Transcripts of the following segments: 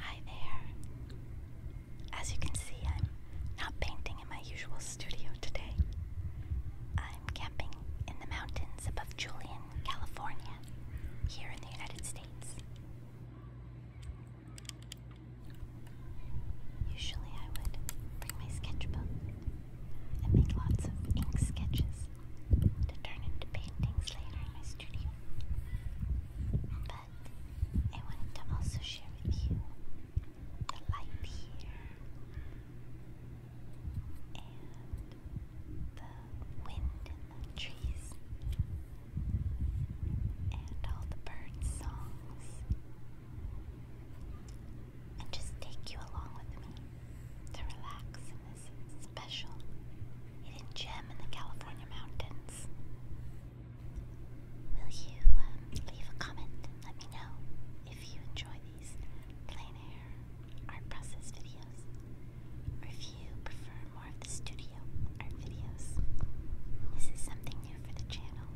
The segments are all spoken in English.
Hi there. As you can see, I'm not painting in my usual studio today. I'm camping in the mountains above Julian, California, here in the United States. Usually, I would bring my sketchbook and make lots of ink sketches to turn into paintings later in my studio. But I wanted to also share with you the light here and the wind in the trees and all the bird songs and just take you along with me to relax in this special hidden gem in the California mountains. Will you um, leave a comment and let me know if you enjoy these plain air art process videos, or if you prefer more of the studio art videos? This is something new for the channel,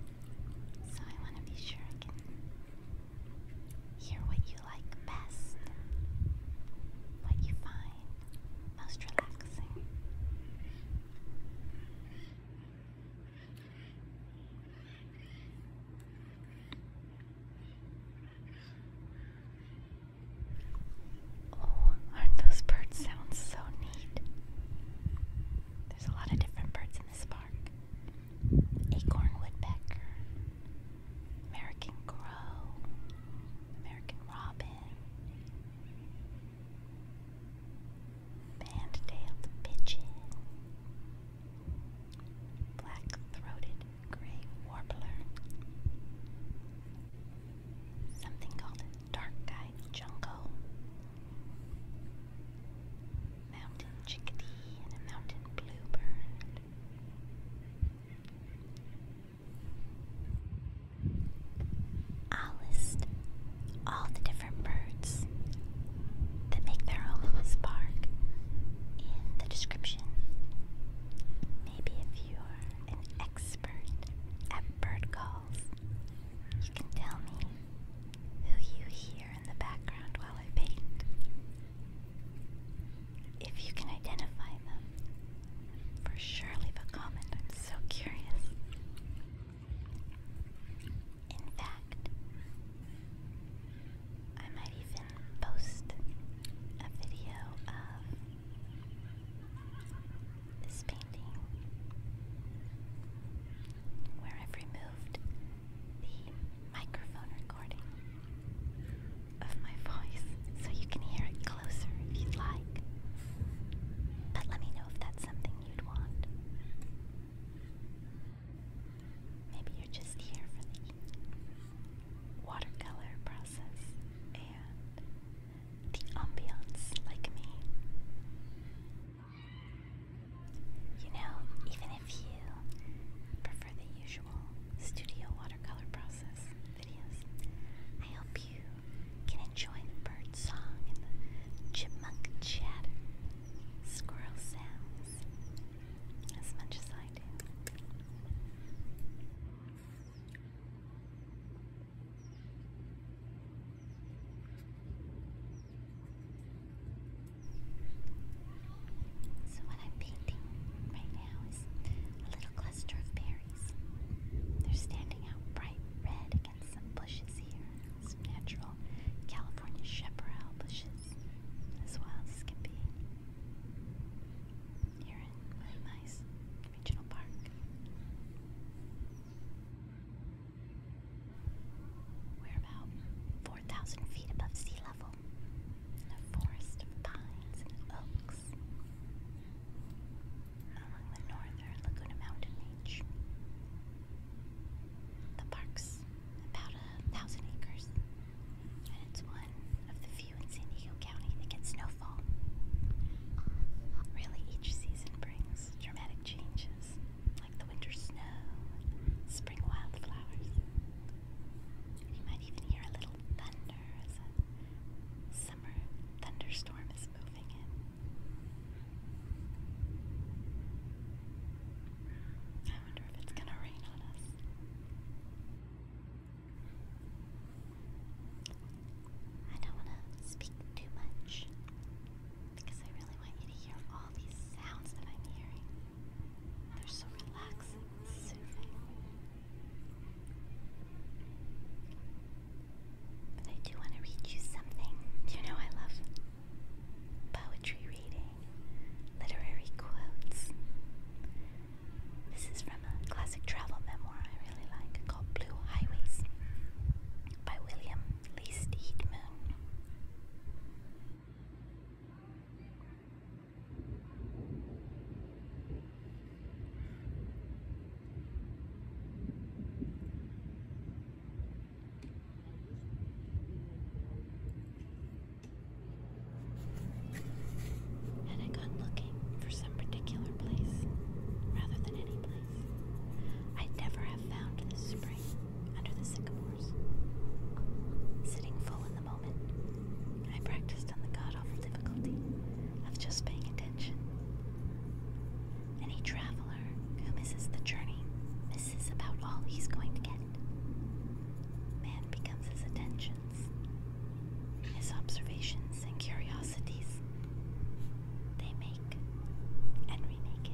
so I want to be sure I can Hear what you like best, what you find most relaxing. Oh, aren't those bird sounds so neat? There's a lot of different birds in this park acorn woodpecker, American crow, American robin, band-tailed pigeon, black-throated gray warbler, something called dark-eyed junco, mountain chickadee, and a mountain bluebird. I'll list all the different birds that make their home in this park in the description. Maybe if you're an expert at bird calls, you can tell me who you hear in the background while I paint. If you can identify them, for sure leave a comment. I'm so curious. In fact, I might even post a video of this painting where I've removed the microphone of my voice so you can hear it closer if you like. But let me know if that's something you'd want. Maybe you're just here for the watercolor process and the ambiance like me. You know, even if you prefer the usual studio watercolor process videos, I hope you can enjoy the bird song and the chipmunk chatter, squirrel sounds, as much as I do. So what I'm painting right now is a little cluster of berries. They're standing out bright red against some bushes here, some natural California chaparral bushes as wild as can Here in my nice regional park. We're about 4,000 feet above sea level in a forest of pines and oaks along the northern Laguna Mountain Range. The park's about a thousand acres, and it's one of the few in San Diego County that gets snowfall. Really, each season brings changes, dramatic changes, like the winter snow spring wildflowers. You might even hear a little thunder as a summer thunderstorm is moving in. I wonder if it's going to rain on us. I don't want to speak too much because I really want you to hear all these sounds that I'm hearing. They're so relaxing and soothing. I do want to read you something. You know, I love poetry reading, literary quotes. This is from a classic travel memoir I really like called Blue Highways by William least heat moon. I got looking for some particular place rather than any place i never have found the spring under the sycamores. Sitting full in the moment, I practiced on the god awful difficulty of just paying attention. Any traveler who misses the journey misses about all he's going to get. Man becomes his attentions, his observations and curiosities. They make and remake it.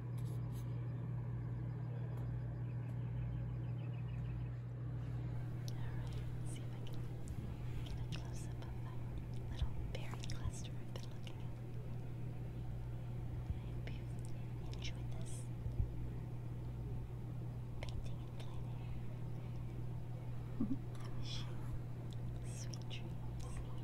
Alright, see if I can get a close up of that little berry cluster I've been looking at. I hope you enjoyed this painting and plain air. I wish you sweet dreams